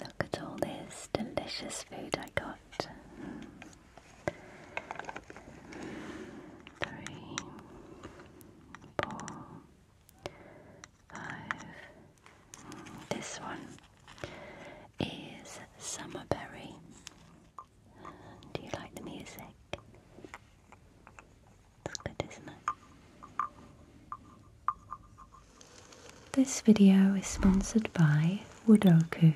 Look at all this delicious food I got. Three, four, five. This one is Summerberry. Do you like the music? This video is sponsored by Woodoku.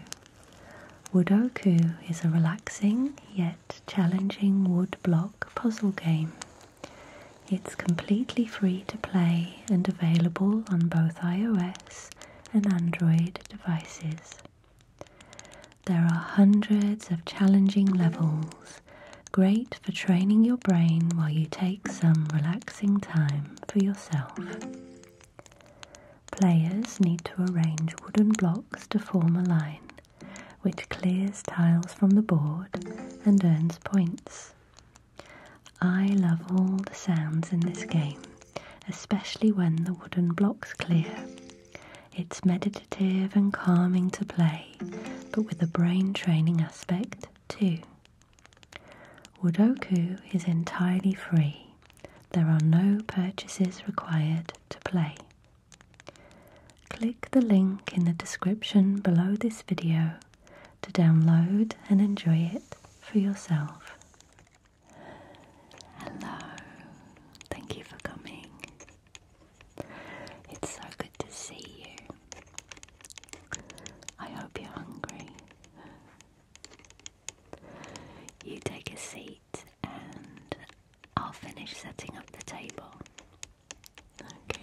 Woodoku is a relaxing yet challenging wood block puzzle game. It's completely free to play and available on both iOS and Android devices. There are hundreds of challenging levels Great for training your brain while you take some relaxing time for yourself. Players need to arrange wooden blocks to form a line, which clears tiles from the board and earns points. I love all the sounds in this game, especially when the wooden blocks clear. It's meditative and calming to play, but with a brain training aspect, 2. Wudoku is entirely free. There are no purchases required to play. Click the link in the description below this video to download and enjoy it for yourself. Hello, thank you for coming. It's so good to see you. I hope you're hungry. You take a seat and I'll finish setting up the table. Okay.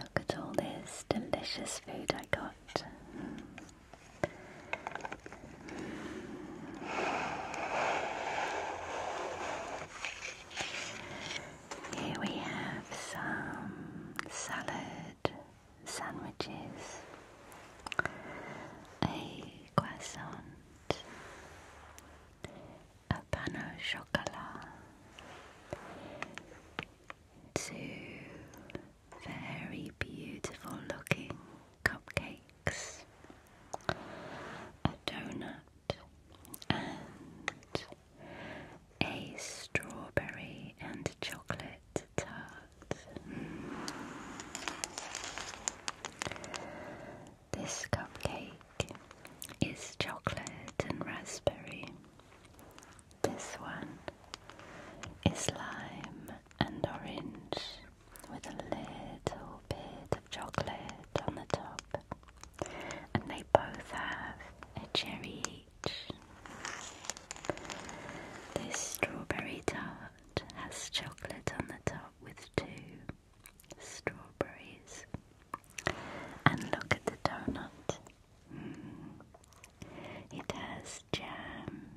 Look at all this delicious food I got. Here we have some salad, sandwiches, a croissant, a banana chocolate, two very beautiful looking cupcakes, a donut, and a strawberry and chocolate tart. This cupcake is chocolate and raspberry. This one is lime and orange with a little bit of chocolate on the top. And they both have a cherry each. This strawberry tart has chocolate on the top with two strawberries. And look at the donut. Mm. It has jam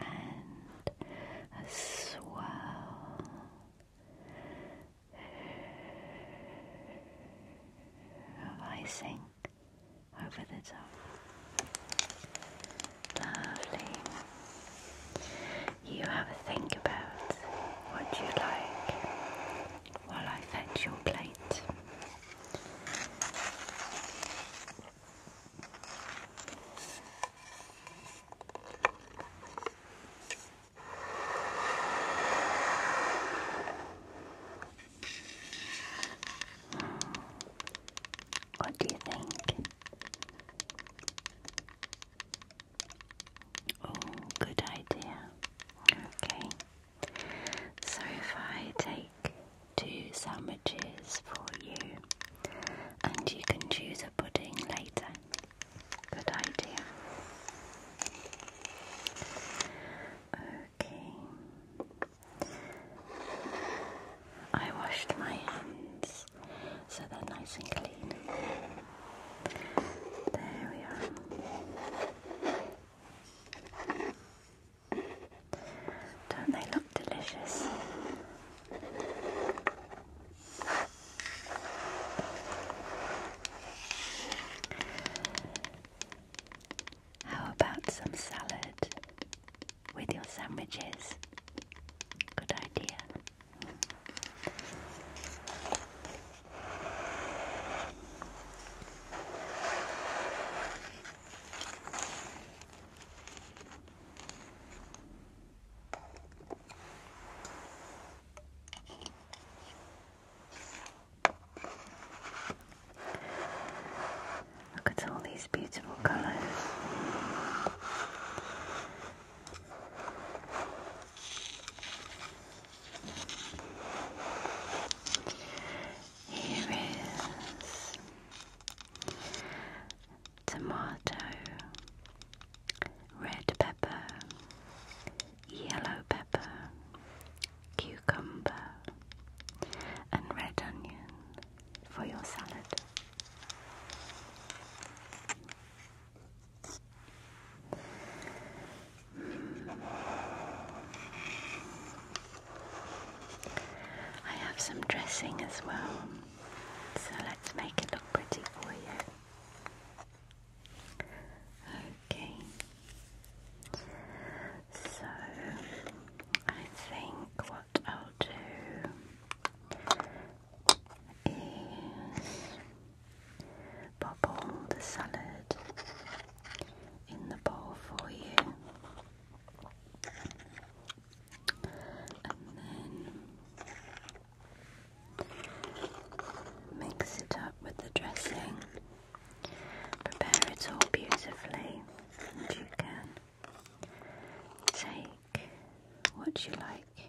and a swirl. Of icing over the top. Lovely. You have a think about what you like while I fetch your plate. What do you think? good idea. Okay. So if I take two sandwiches for you and you can choose a pudding later. Good idea. Okay. I washed my hands so they're nice and clean. There we are. Don't they look delicious? How about some salad with your sandwiches? Good idea. Look at all these beautiful colors. Here is tomato, red pepper, yellow pepper, cucumber, and red onion for your salad. I have some dressing as well, so let's make it look pretty for you. Okay, so I think what I'll do is Pop all the salad in the bowl for you, and then mix it up with the dressing. Prepare it all beautifully, and you can take what you like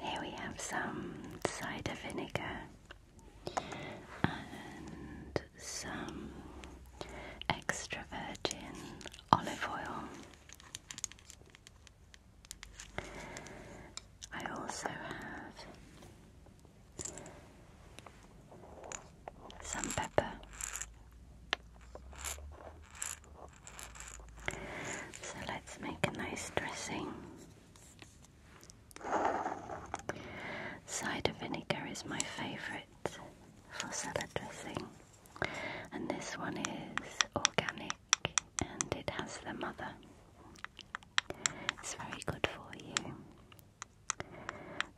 here we have some cider vinegar and some extra virgin olive oil. I also have some pepper. So let's make a nice dressing. Cider vinegar is my favourite for salad dressing, and this one is organic and it has the mother. It's very good for you.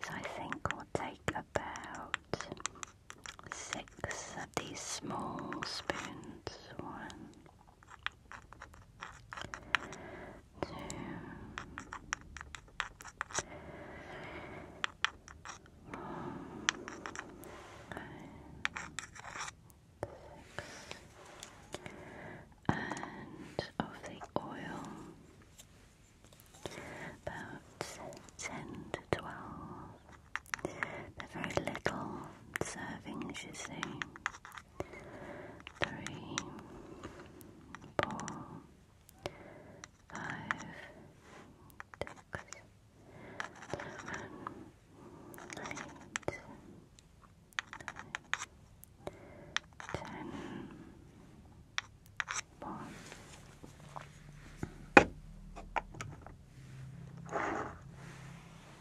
So I think we'll take about six of these small spoons. One, two, and of the oil about ten to twelve they're very little servings, you see. Three, four, five, six, seven, eight, nine, ten,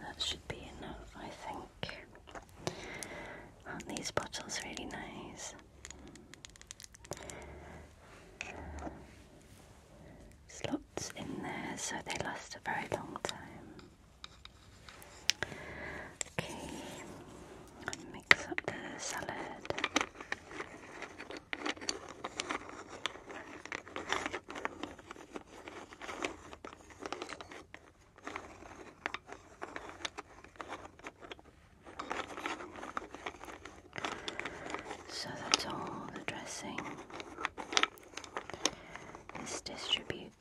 That should be enough, I think. Aren't these bottles really nice? Slots in there so they last a very long time. Okay, mix up the salad. So that's all the dressing is distributed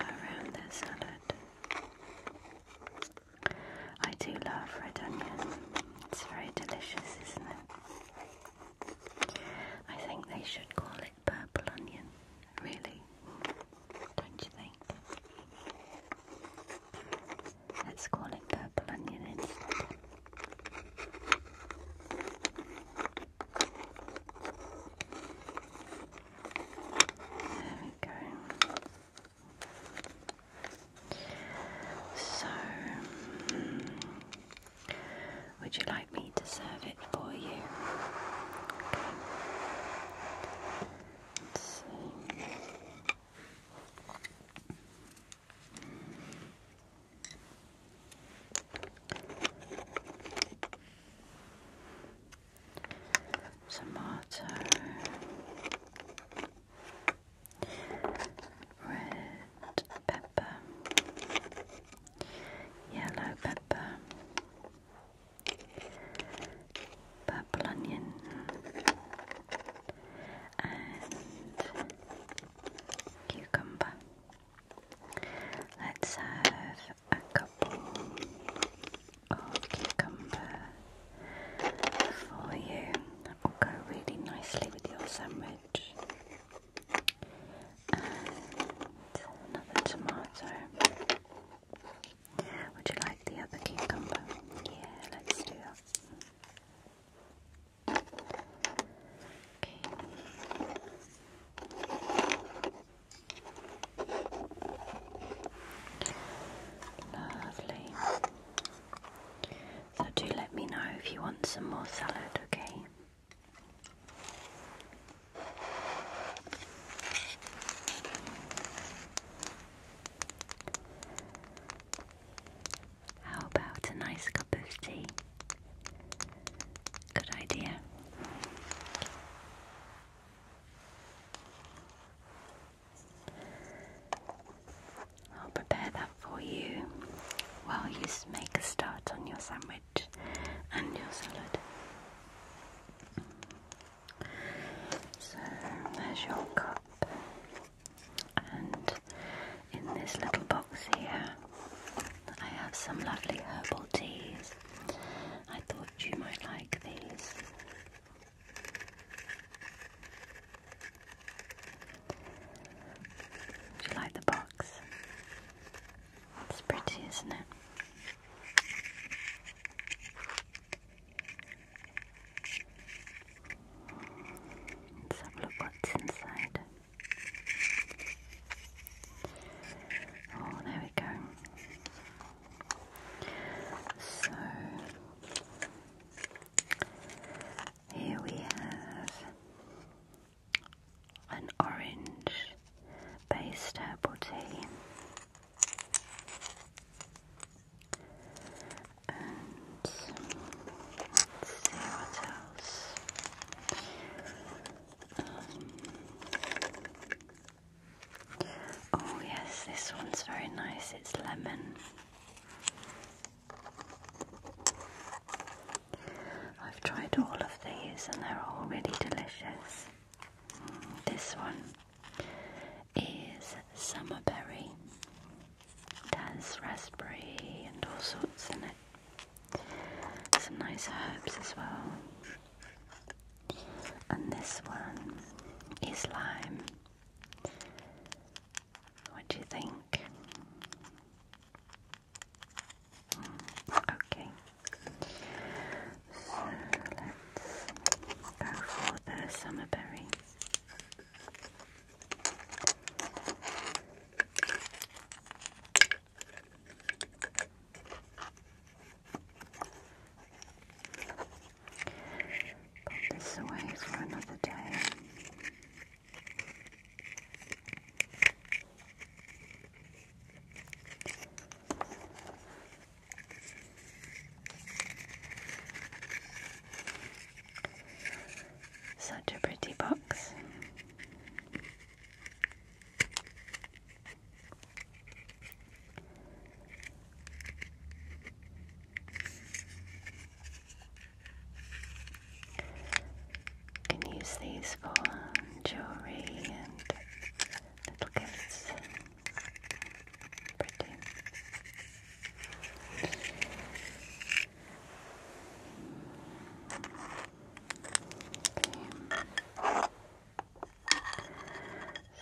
around the salad. I do love red onion. It's very delicious, isn't it? I think they should call it purple onion, really, don't you think? Let's call it purple onion instead. There we go. So, mm, would you like me to serve it for you? Tomato red pepper, yellow pepper, purple onion, and cucumber. Let's have a couple of cucumber for you. That will go really nicely with your sandwich. another tomato. Would you like the other cucumber? Yeah, let's do that. Lovely. So do let me know if you want some more salad, okay? How about a nice cup of tea? Good idea. I'll prepare that for you while you make a start on your sandwich and your salad. So there's your cup, and in this little box here, I have some lovely herbal teas. I thought you might like these. Do you like the box? It's pretty, isn't it? Let's have a look what's inside. Oh, there we go. So, here we have an orange based herbal tea. And let else. Um, oh, yes, this one's very nice. It's lemon. I've tried all of these and they're all really delicious. This one is summer berry. It has raspberry and all sorts in it. Some nice herbs as well. And this one is lime. What do you think? okay. So let's go for the summer Put this away for another day. Such a pretty box can use these for jewelry and little gifts. Pretty. Okay.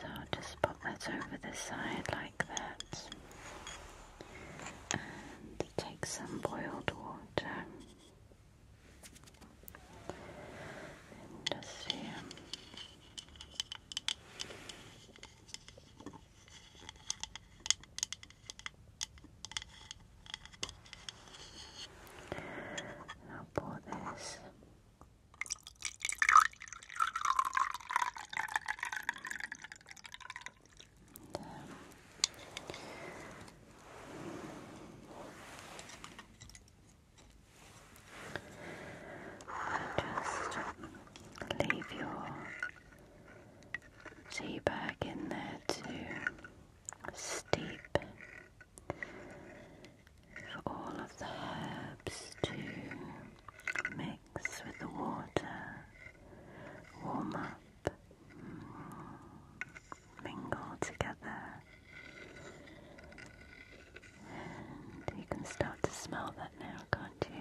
So I'll just pop that over the side like that and take some boiled water and just here. pour this just leave your tea bag in there to steep for all of the herbs to mix with the water, warm up, mm. mingle together, and you can start to smell that now, can't you?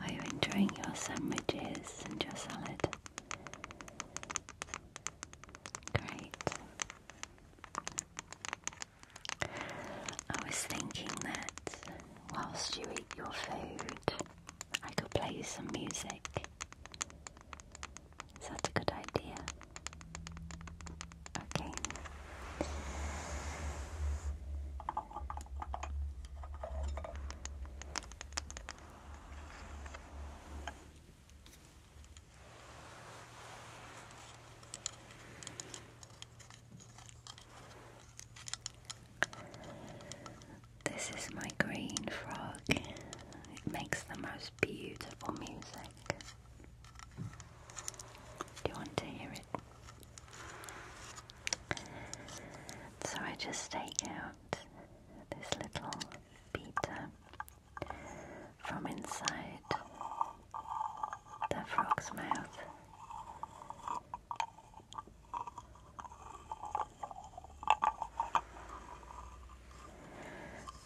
Are you enjoying your sandwiches and your salad? Great. I was thinking that whilst you eat your food, I could play you some music. Is that a good idea? Okay. This is my green frog. It makes the most beautiful music. Do you want to hear it? So I just take out this little beater from inside the frog's mouth.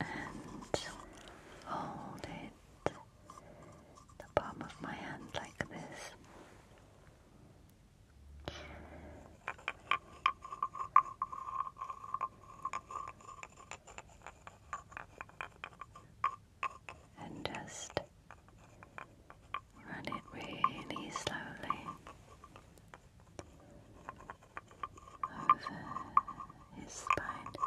And hold it the palm of my hand like this. And just run it really slowly over his spine.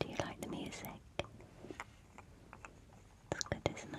Do you like the music? It's good, isn't it?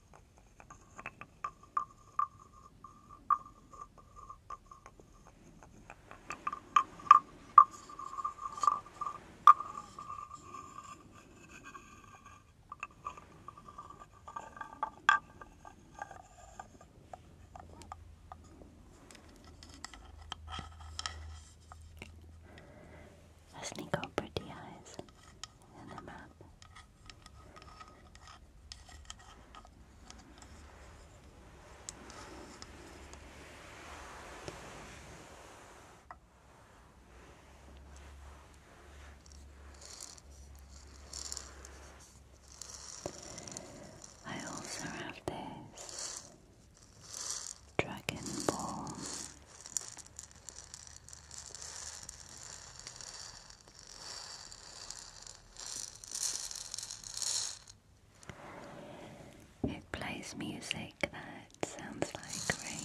Hasn't he got pretty eyes? in I also have this Dragon Ball it plays music that sounds like rain.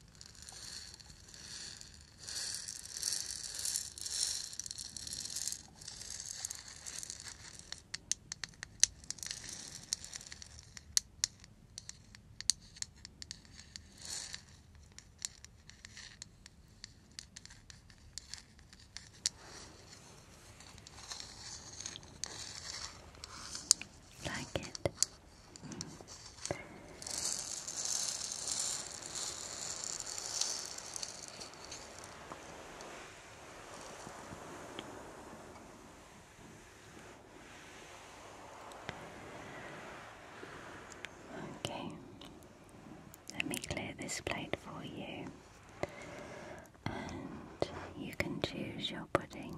Like it. Okay, let me clear this plate for you, and you can choose your pudding.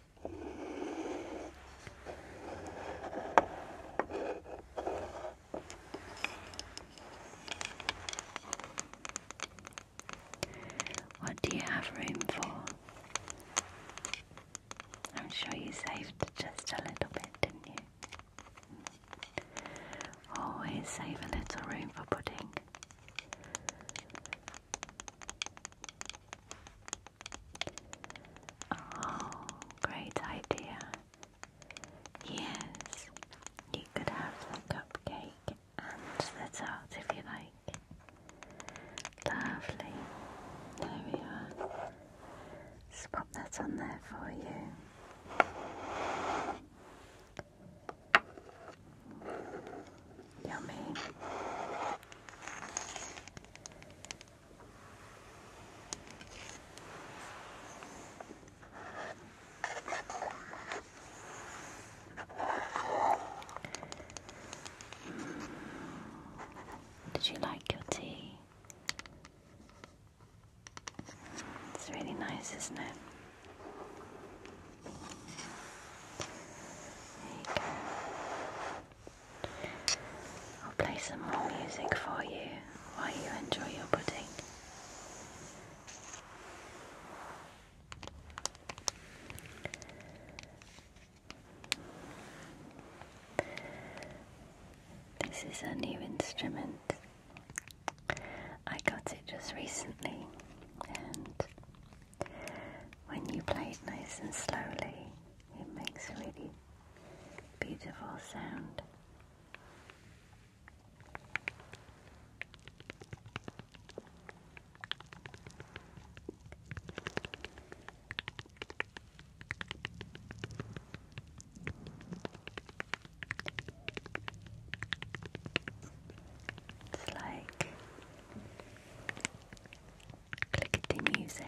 What do you have room for? I'm sure you saved just a little bit, didn't you? Always save a little room for pudding. Oh, great idea. Yes, you could have the cupcake and the tart if you like. Lovely. There we are. pop that on there for you. Yummy. Did you like your tea? It's really nice, isn't it? There you go. I'll play some more music for you while you enjoy your pudding. This is a new instrument. I got it just recently, and when you play it nice and slowly, it makes a really beautiful sound. It's like clickety music.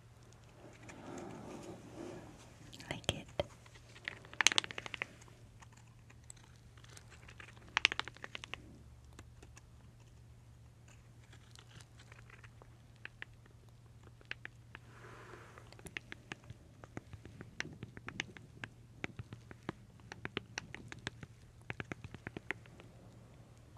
like it.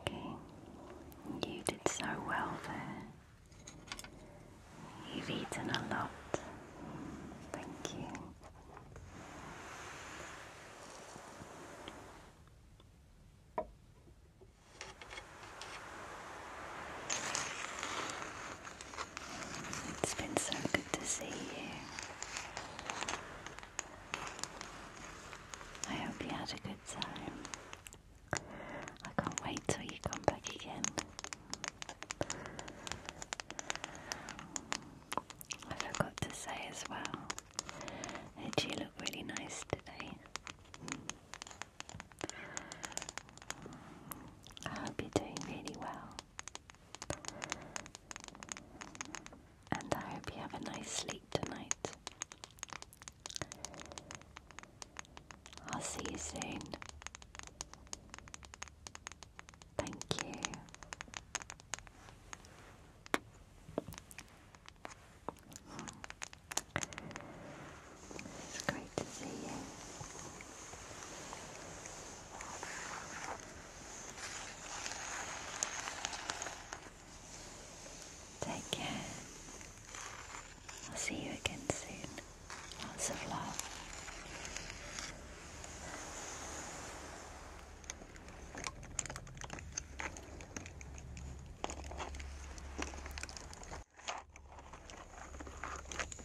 Okay, you did so well there. You've eaten a lot. Thank you. It's been so good to see you. I hope you had a good time. I can't wait till you come back again. I forgot to say as well that you look really nice today. I hope you're doing really well. And I hope you have a nice sleep tonight. I'll see you soon. Thank you. It's great to see you. Take care. I'll see you again soon. Lots of love.